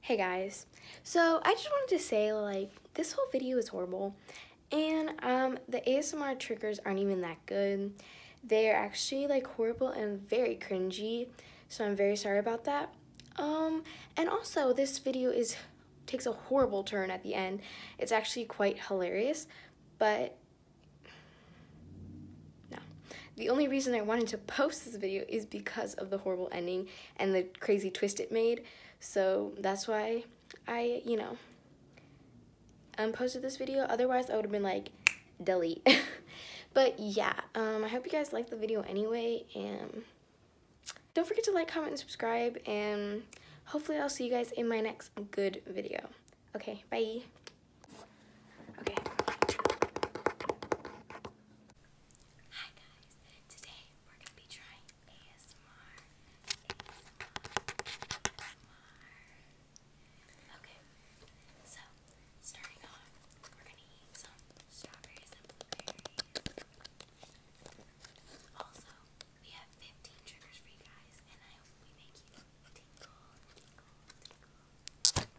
Hey guys, so I just wanted to say like this whole video is horrible and um, the ASMR triggers aren't even that good. They're actually like horrible and very cringy, so I'm very sorry about that. Um, and also this video is takes a horrible turn at the end. It's actually quite hilarious, but no. The only reason I wanted to post this video is because of the horrible ending and the crazy twist it made. So that's why I, you know, um, posted this video. Otherwise, I would have been like, delete. but yeah, um, I hope you guys liked the video anyway. And don't forget to like, comment, and subscribe. And hopefully I'll see you guys in my next good video. Okay, bye. Okay. Hi guys, today we're going to be trying ASMR. ASMR. Okay, so starting off, we're going to eat some strawberries Also, we have 15 triggers for you guys, and I hope we make you tingle, tingle, tingle.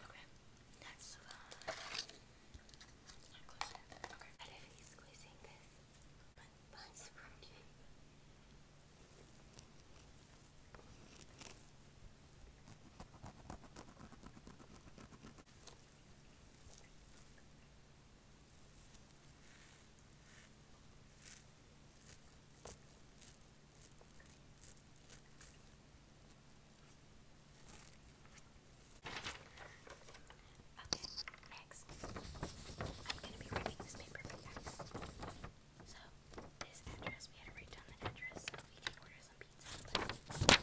Okay, next uh, one. Okay. I don't squeezing this. But Okay, next, I'm going to be writing this paper you So, this address, we had to write down the address so we can order some pizza.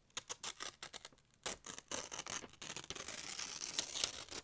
Okay guys, now we're going to be doing some lipstick sounds.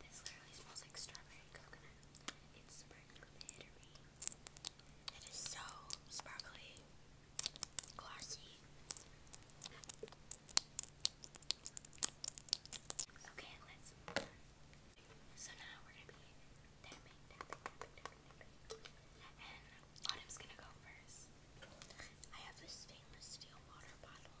This literally smells like strawberry coconut. It's sparkly. It is so sparkly, glossy. Okay, let's So now we're gonna be And Autumn's gonna go first. I have this stainless steel water bottle.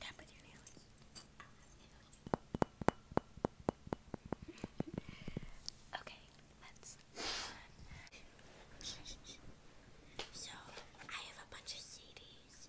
Tap with your nails. okay, let's so I have a bunch of CDs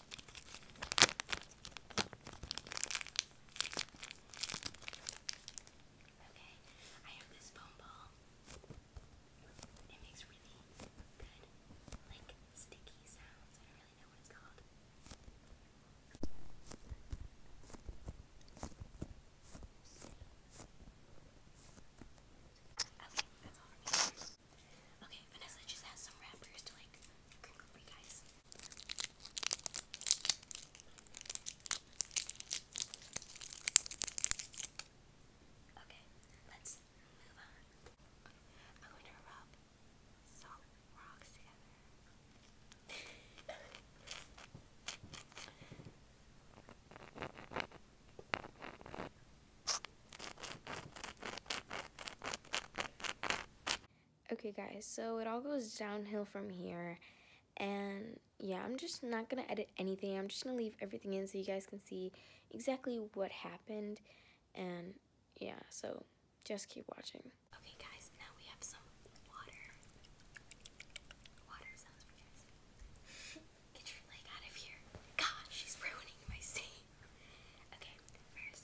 Okay, I have this foam ball. It makes really good, like sticky sounds. I don't really know what it's called. Okay, Vanessa just has some wrappers to like crinkle for you guys. Okay, let's move on. I'm going to rub solid rocks together. Okay, guys, so it all goes downhill from here. And yeah, I'm just not going to edit anything. I'm just going to leave everything in so you guys can see exactly what happened. And yeah, so just keep watching. Okay, guys, now we have some water. Water sounds for Get your leg out of here. God, she's ruining my scene. Okay, first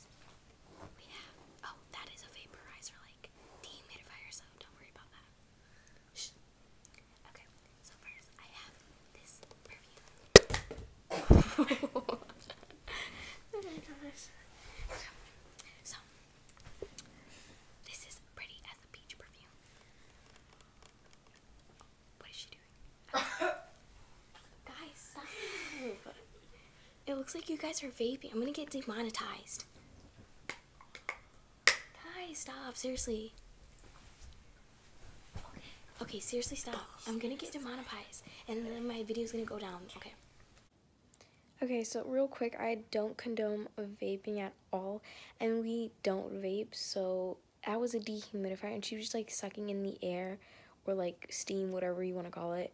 we have. Oh, that is a vaporizer, like dehumidifier, so don't worry about that. Okay, so first I have this perfume. oh my gosh. So, this is pretty as a peach perfume. What is she doing? Guys, stop. It looks like you guys are vaping. I'm gonna get demonetized. Guys, stop, seriously. Okay, seriously, stop. I'm gonna get demonetized, and then my video's gonna go down. Okay. Okay, so real quick, I don't condone vaping at all, and we don't vape, so I was a dehumidifier, and she was just like sucking in the air or like steam, whatever you want to call it.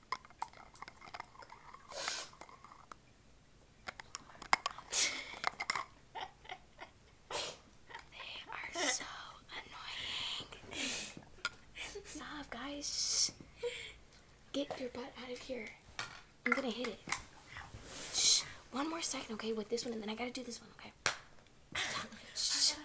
they are so annoying. Stop, guys. Get your butt out of here. I'm gonna hit it. One more second, okay, with this one, and then I gotta do this one, okay? Stop.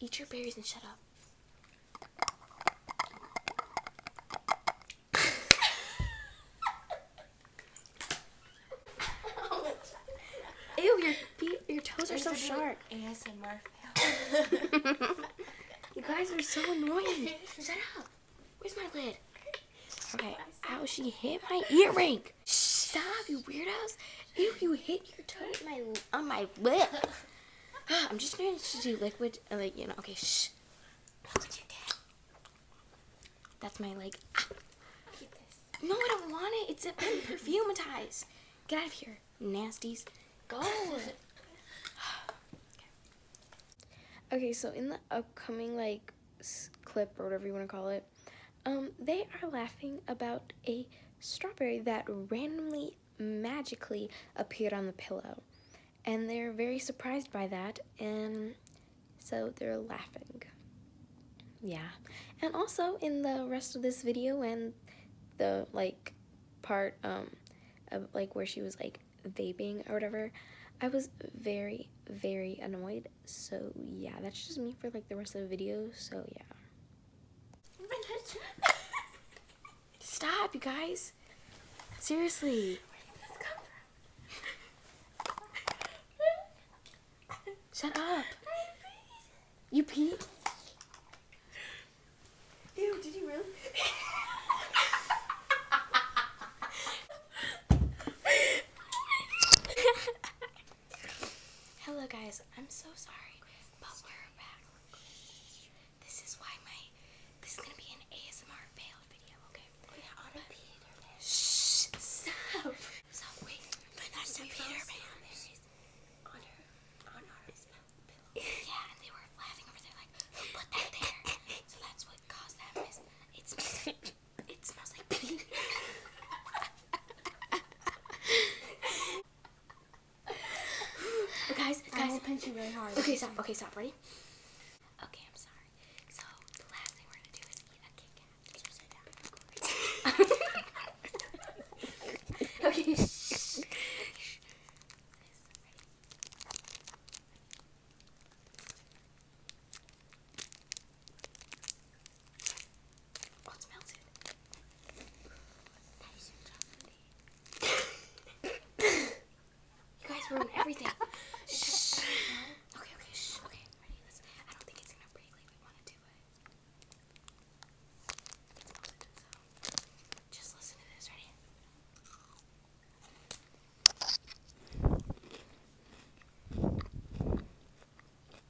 Eat your berries and shut up. Ew, your feet, your toes are so sharp. ASMR you guys are so annoying. Shut up. Where's my lid? Okay. Ow, she hit my earring. Stop, you weirdos. Ew, you hit your toe on my lip. Ah, I'm just going to do liquid, like, you know, okay, That's my leg. Ah. No, I don't want it. It's been perfumatized. Get out of here, nasties. Go. okay. okay, so in the upcoming, like, clip or whatever you want to call it, um, they are laughing about a strawberry that randomly magically appeared on the pillow. And they're very surprised by that, and so they're laughing. Yeah. And also, in the rest of this video and the, like, part, um, of, like, where she was, like, vaping or whatever, I was very, very annoyed. So, yeah, that's just me for, like, the rest of the video. So, yeah. Stop, you guys. Seriously. Shut up. You peed? did you really? Hello guys, I'm so sorry, but we're back. This is why my this is gonna be an ASMR failed video, okay? Oh yeah, on a Peter Shh, stop. So wait, but that's a Peter Pan. On her, on her pillow. Yeah, and they were laughing over there like, put that there? so that's what caused that mess. it smells like pee. guys, guys. I really hard. Okay, stop. Okay, stop. Ready? Okay, I'm sorry. So, the last thing we're going to do is eat a Kit okay, you guys ruin everything. Shh. Okay, okay, shh. Okay, ready? let I don't think it's gonna break like we want to, but. So, just listen to this, ready?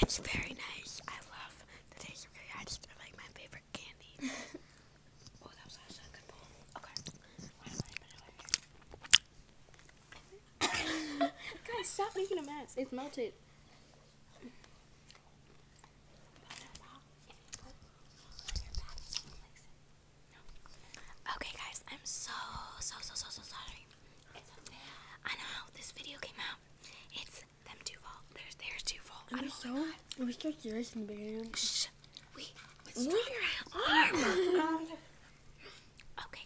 It's very nice. I love the taste of curry. I like my favorite candy. Oh, Guys, stop making a mess. It's melted. Okay, guys, I'm so, so, so, so, so sorry. okay. I know this video came out. It's them two fault. There's, there's two fault. Are we so, we so serious in Shh. We, okay,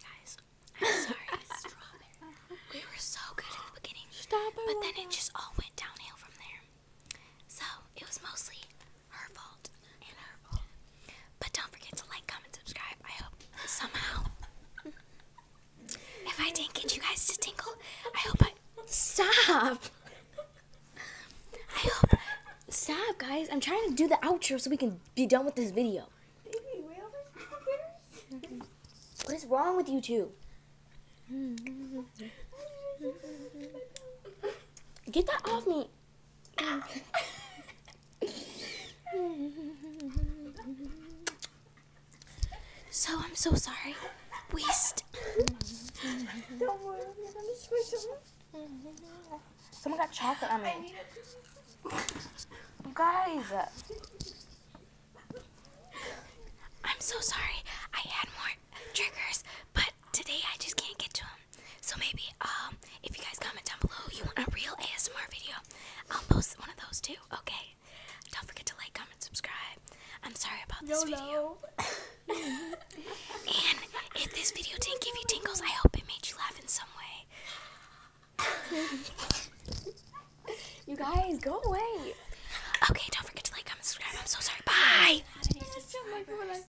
guys, I'm sorry. we were so good in the beginning. But then it just all went downhill from there. So, it was mostly her fault and her fault. But don't forget to like, comment, subscribe. I hope somehow. If I didn't get you guys to tingle, I hope I stop. I hope stop, guys. I'm trying to do the outro so we can be done with this video. What is wrong with you two? Get that off me so I'm so sorry. Waste. Don't worry, I'm gonna switch Someone got chocolate on me. Guys. I'm so sorry. I had more triggers, but today I just can't get to them. So maybe um, if you guys comment down below you want a real ASMR video, I'll post one of those too. Okay. Don't forget to like, comment, subscribe. I'm sorry about this video. and if this video did not give you tingles, I hope it made you laugh in some way. you guys, go away. Okay, don't forget to like, comment, subscribe. I'm so sorry. Bye.